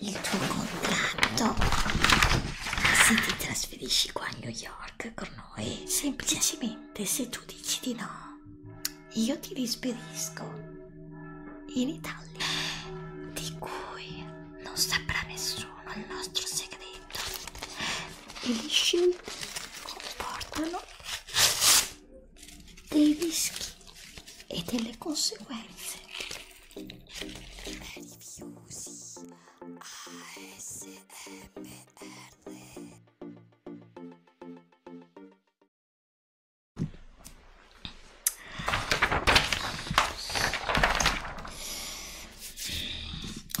il tuo contratto se ti trasferisci qua a New York con noi semplicemente se tu dici di no io ti risperisco in Italia di cui non saprà nessuno il nostro segreto e gli scelti comportano dei rischi e delle conseguenze Meravigliosi ah, ASMR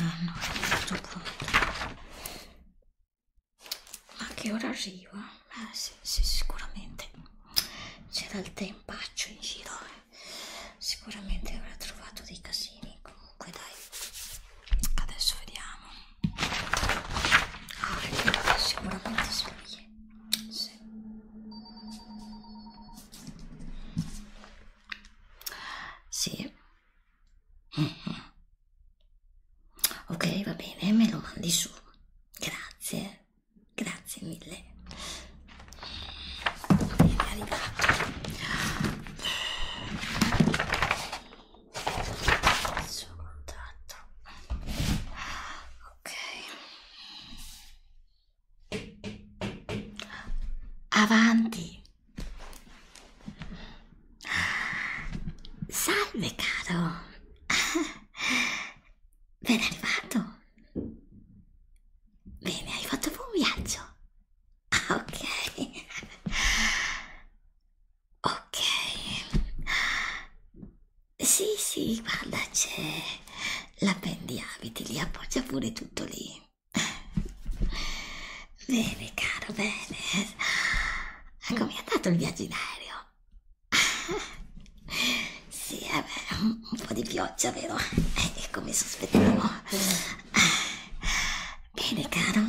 Allora, a questo punto, ma che ora arriva? eh, sì, sì, sicuramente c'era il tempaccio in giro, eh. sicuramente avrà trovato dei casini. Comunque, dai, adesso vediamo. Ah, ecco, sicuramente sono lì. Sì. Sì. Mm -hmm. Ok, va bene, me lo mandi su. Grazie grazie mille è arrivato il suo contatto ok avanti salve caro Ben arrivato. Bene, hai fatto un buon viaggio. Ah, ok. Ok. Sì, sì, guarda, c'è la pendiabiti lì, appoggia pure tutto lì. Bene, caro, bene. Come è andato il viaggio in aereo? sì, eh beh, un po' di pioggia, vero? È eh, come ecco, sospettavo. Bene, caro.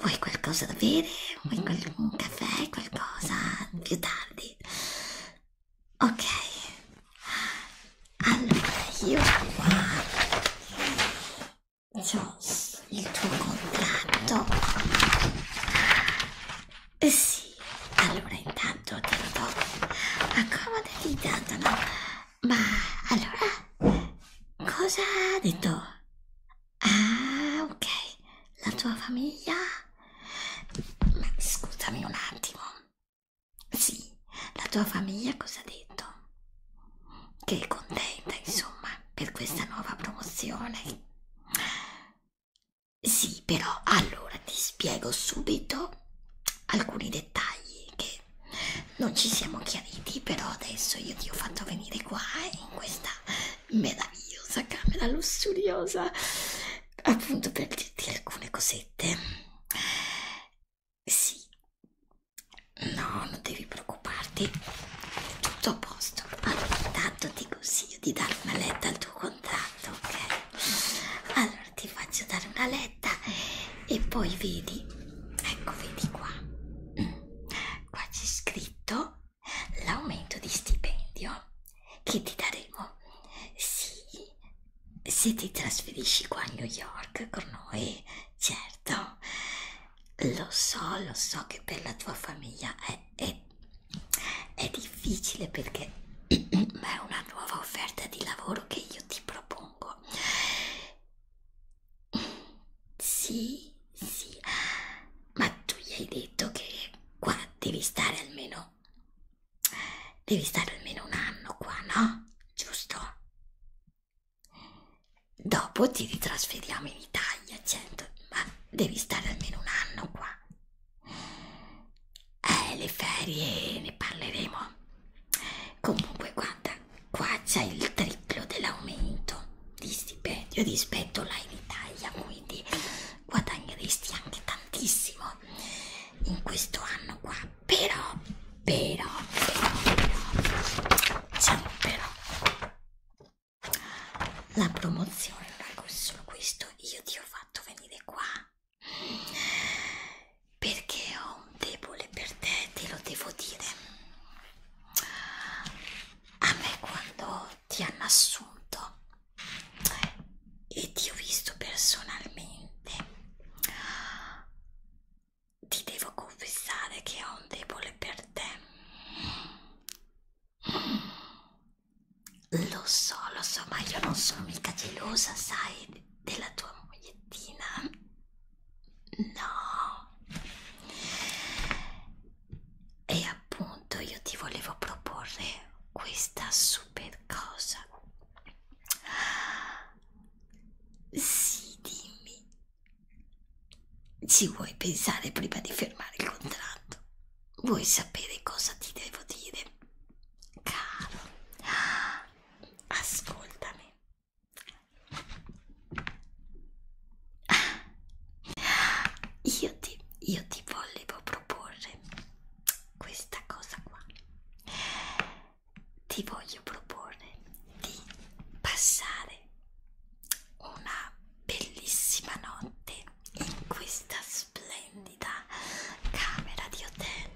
Vuoi qualcosa da bere? Vuoi qual un caffè? Qualcosa più tardi? Ok. Allora, io qua... C'ho il tuo contratto eh sì, allora intanto Tito, accomodati intanto, no? Ma allora, cosa ha detto? Ah, ok, la tua famiglia? Ma scusami un attimo. Sì, la tua famiglia cosa ha detto? Che è contenta, insomma, per questa nuova promozione. Sì, però allora ti spiego subito alcuni dettagli che non ci siamo chiariti, però adesso io ti ho fatto venire qua in questa meravigliosa camera lussuriosa appunto per dirti alcune cosette. Sì, no, non devi preoccuparti, è tutto a posto. Allora, intanto ti consiglio di dare una letta al tuo contratto tanto, ok? Allora ti faccio dare una letta e poi vedi, ecco vedi qua, mm. qua c'è scritto l'aumento di stipendio che ti daremo sì, se ti trasferisci qua a New York con noi, certo. Lo so, lo so che per la tua famiglia è è, è difficile perché è una nuova offerta di lavoro che io ti propongo. Sì, sì, ma tu gli hai detto che qua devi stare almeno devi stare almeno un anno qua, no? Giusto? Dopo ti ritrasferiamo in Italia, certo, ma devi stare almeno un anno qua. Eh, le ferie ne parleremo. Comunque, guarda, qua c'è il triplo dell'aumento di stipendio rispetto là in Italia, quindi guadagneresti anche tantissimo in questo anno qua. Però, però, però, però, c'è un però la promozione non è solo questo io ti ho fatto venire qua perché ho un debole per te te lo devo dire a me quando ti hanno assunto e ti ho visto personalmente ti devo confessare che ho un debole per te lo so, lo so, ma io non sono mica gelosa, sai, della tua mogliettina. No. E appunto io ti volevo proporre questa super cosa. Sì, dimmi. Ci vuoi pensare prima di fermare il contratto? Vuoi sapere cosa ti devo dire? Caro, ascoltami. Io ti, io ti volevo proporre questa cosa qua. Ti voglio proporre di passare una bellissima notte in questa splendida camera di hotel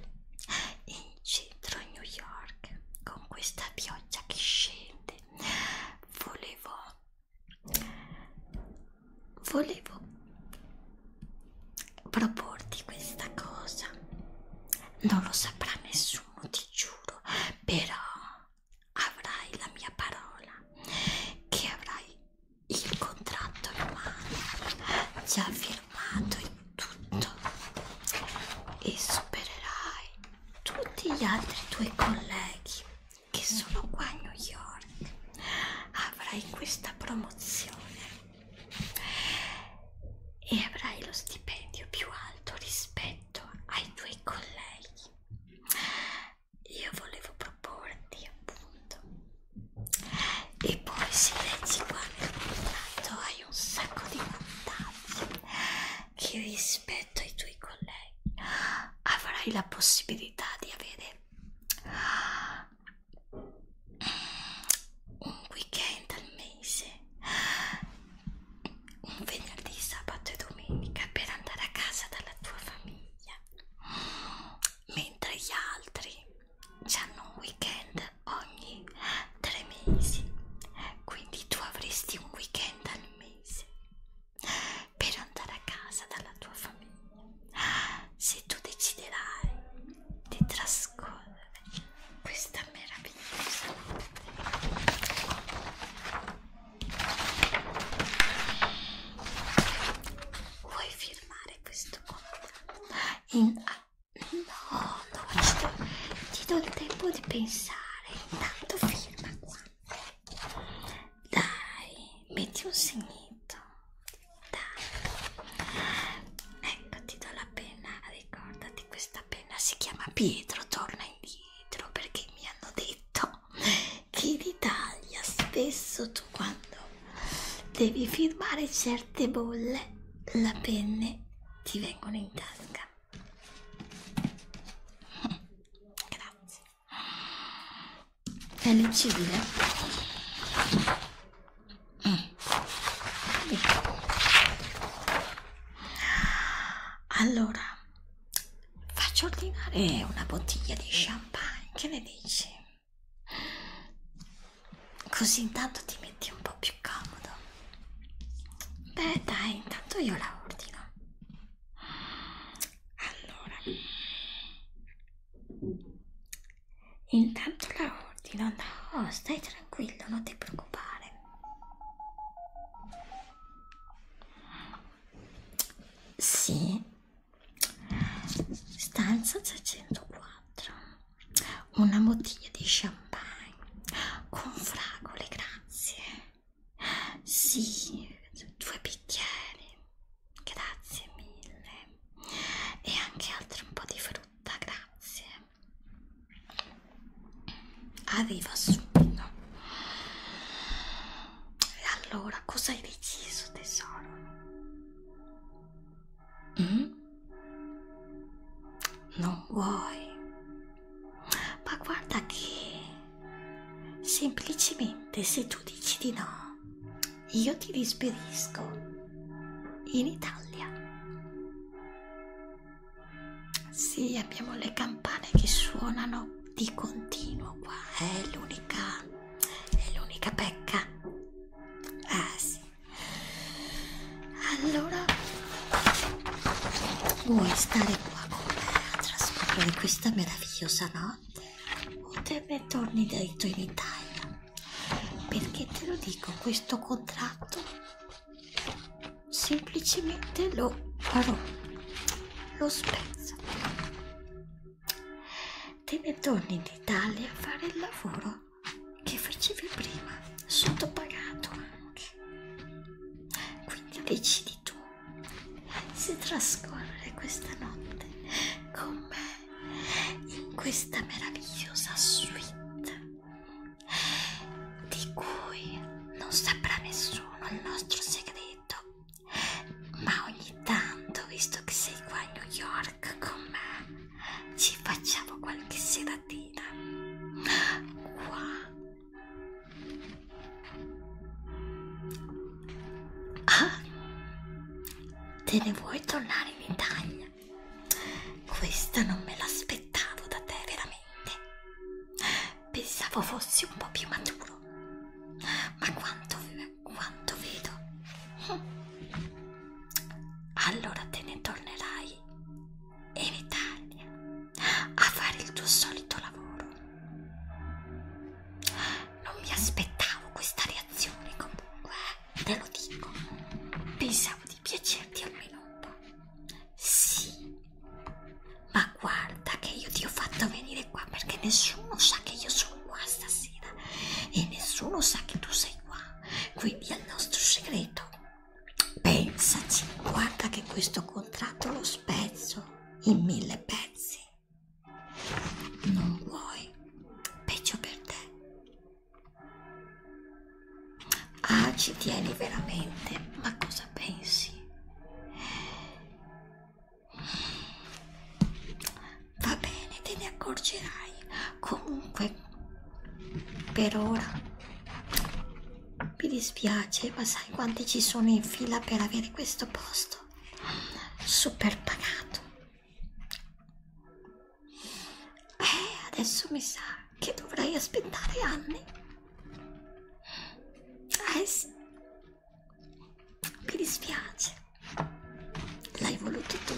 in centro New York con questa pioggia che scende volevo volevo proporti questa cosa non lo saprà nessuno ti giuro però avrai la mia parola che avrai il contratto in mano, già firmato in tutto e supererai tutti gli altri tuoi colleghi che sono qua a New York. Avrai questa promozione e avrai lo stipendio più alto rispetto ai tuoi colleghi io volevo proporti appunto e poi si leggi qua nel contratto hai un sacco di vantaggi che rispetto ai tuoi colleghi avrai la possibilità di avere mm, un weekend al mese un venerdì, sabato e domenica per andare a casa dalla tua famiglia mentre gli altri hanno un weekend ogni tre mesi quindi tu avresti un weekend al mese per andare a casa dalla tua famiglia se tu deciderai di trascorrere questa meravigliosa notte Vuoi firmare questo contratto? In... Ah, no, no, ci do, ti do il tempo di pensare. Intanto firma qua. Dai, metti un segnetto. Dai. Ecco, ti do la penna. Ricordati, questa penna si chiama Pietro. Torna indietro perché mi hanno detto detto che in Italia spesso tu quando devi firmare certe bolle la penne ti vengono in tasca grazie è leggibile mm. Ecco. allora faccio ordinare una bottiglia di champagne, che ne dici? Così intanto ti metti un po' più comodo. Beh, dai, intanto io la ordino. Allora, intanto la ordino. No, stai tranquillo, non ti preoccupare. Sì, stanza 604 una bottiglia di champagne con fragole grazie sì due bicchieri grazie mille e anche altri un po' di frutta grazie arriva subito e allora cosa hai deciso, tesoro? Mm? Non vuoi? Ma guarda che semplicemente se tu dici di no, io ti risperisco in Italia. Sì, abbiamo le campane che suonano di continuo qua è l'unica è l'unica pecca ah sì allora vuoi stare qua con me a trascorrere questa meravigliosa notte o te ne torni dritto in Italia perché te lo dico questo contratto semplicemente lo farò lo spezzo Te ne torni in Italia a fare il lavoro che facevi prima, sottopagato anche. Quindi decidi tu se trascorrere questa notte con me in questa meravigliosa suite di cui non saprà nessuno il nostro segreto detto ma ogni tanto visto che sei qua a New York con me ci facciamo qualche seratina qua ah te ne vuoi tornare in Italia questa non me l'aspettavo da te veramente pensavo fossi un po' più maturo, ma quanto, quanto vedo. Hm. Allora te ne tornerai in Italia a fare il tuo solito lavoro. Non mi aspettavo questa reazione comunque, eh, te lo dico. Pensavo di piacerti almeno un po'. Sì, ma guarda che io ti ho fatto venire qua perché nessuno sa che io sono qua stasera e nessuno sa che tu sei qua quindi al nostro segreto pensaci guarda che questo contratto lo spezzo in mille pezzi non vuoi peggio per te ah ci tieni veramente ma cosa pensi Va bene, te ne accorgerai. Comunque, per ora mi dispiace, ma sai quanti ci sono in fila per avere questo posto? Super pagato. Eh, adesso mi sa che dovrai aspettare anni. Eh sì, mi dispiace. L'hai voluto tu.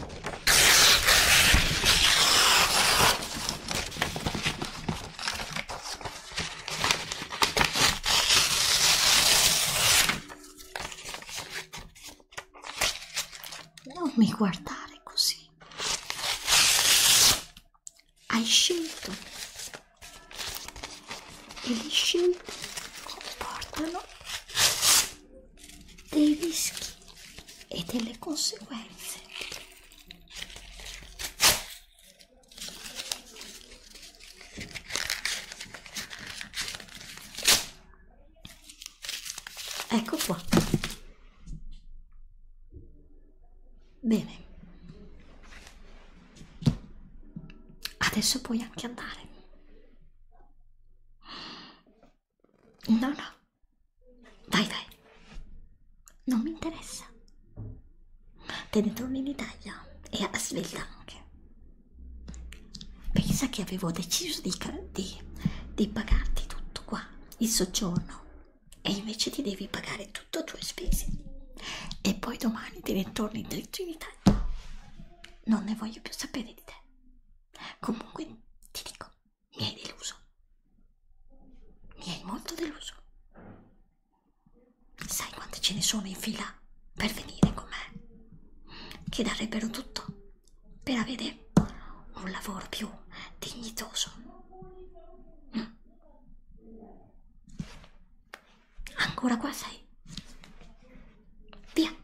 Non mi guardare così. Hai scelto gli scimmie comportano dei rischi e delle conseguenze ecco qua bene Adesso puoi anche andare. No, no. Vai, vai. Non mi interessa. Te ne torni in Italia e a svelta anche. Pensa che avevo deciso di, di, di pagarti tutto qua, il soggiorno, e invece ti devi pagare tu tutto a tue spese e poi domani ti ritorni dritto in Italia. Non ne voglio più sapere di te. Comunque ti dico, mi hai deluso. Mi hai molto deluso. Sai quante ce ne sono in fila per venire con me? Che darebbero tutto per avere un lavoro più dignitoso. Mm. Ancora qua sei. Via.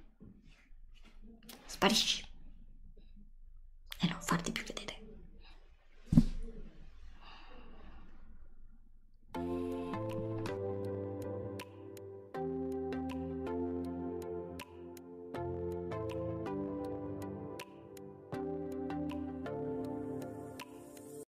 Sparisci. E non farti più vedere.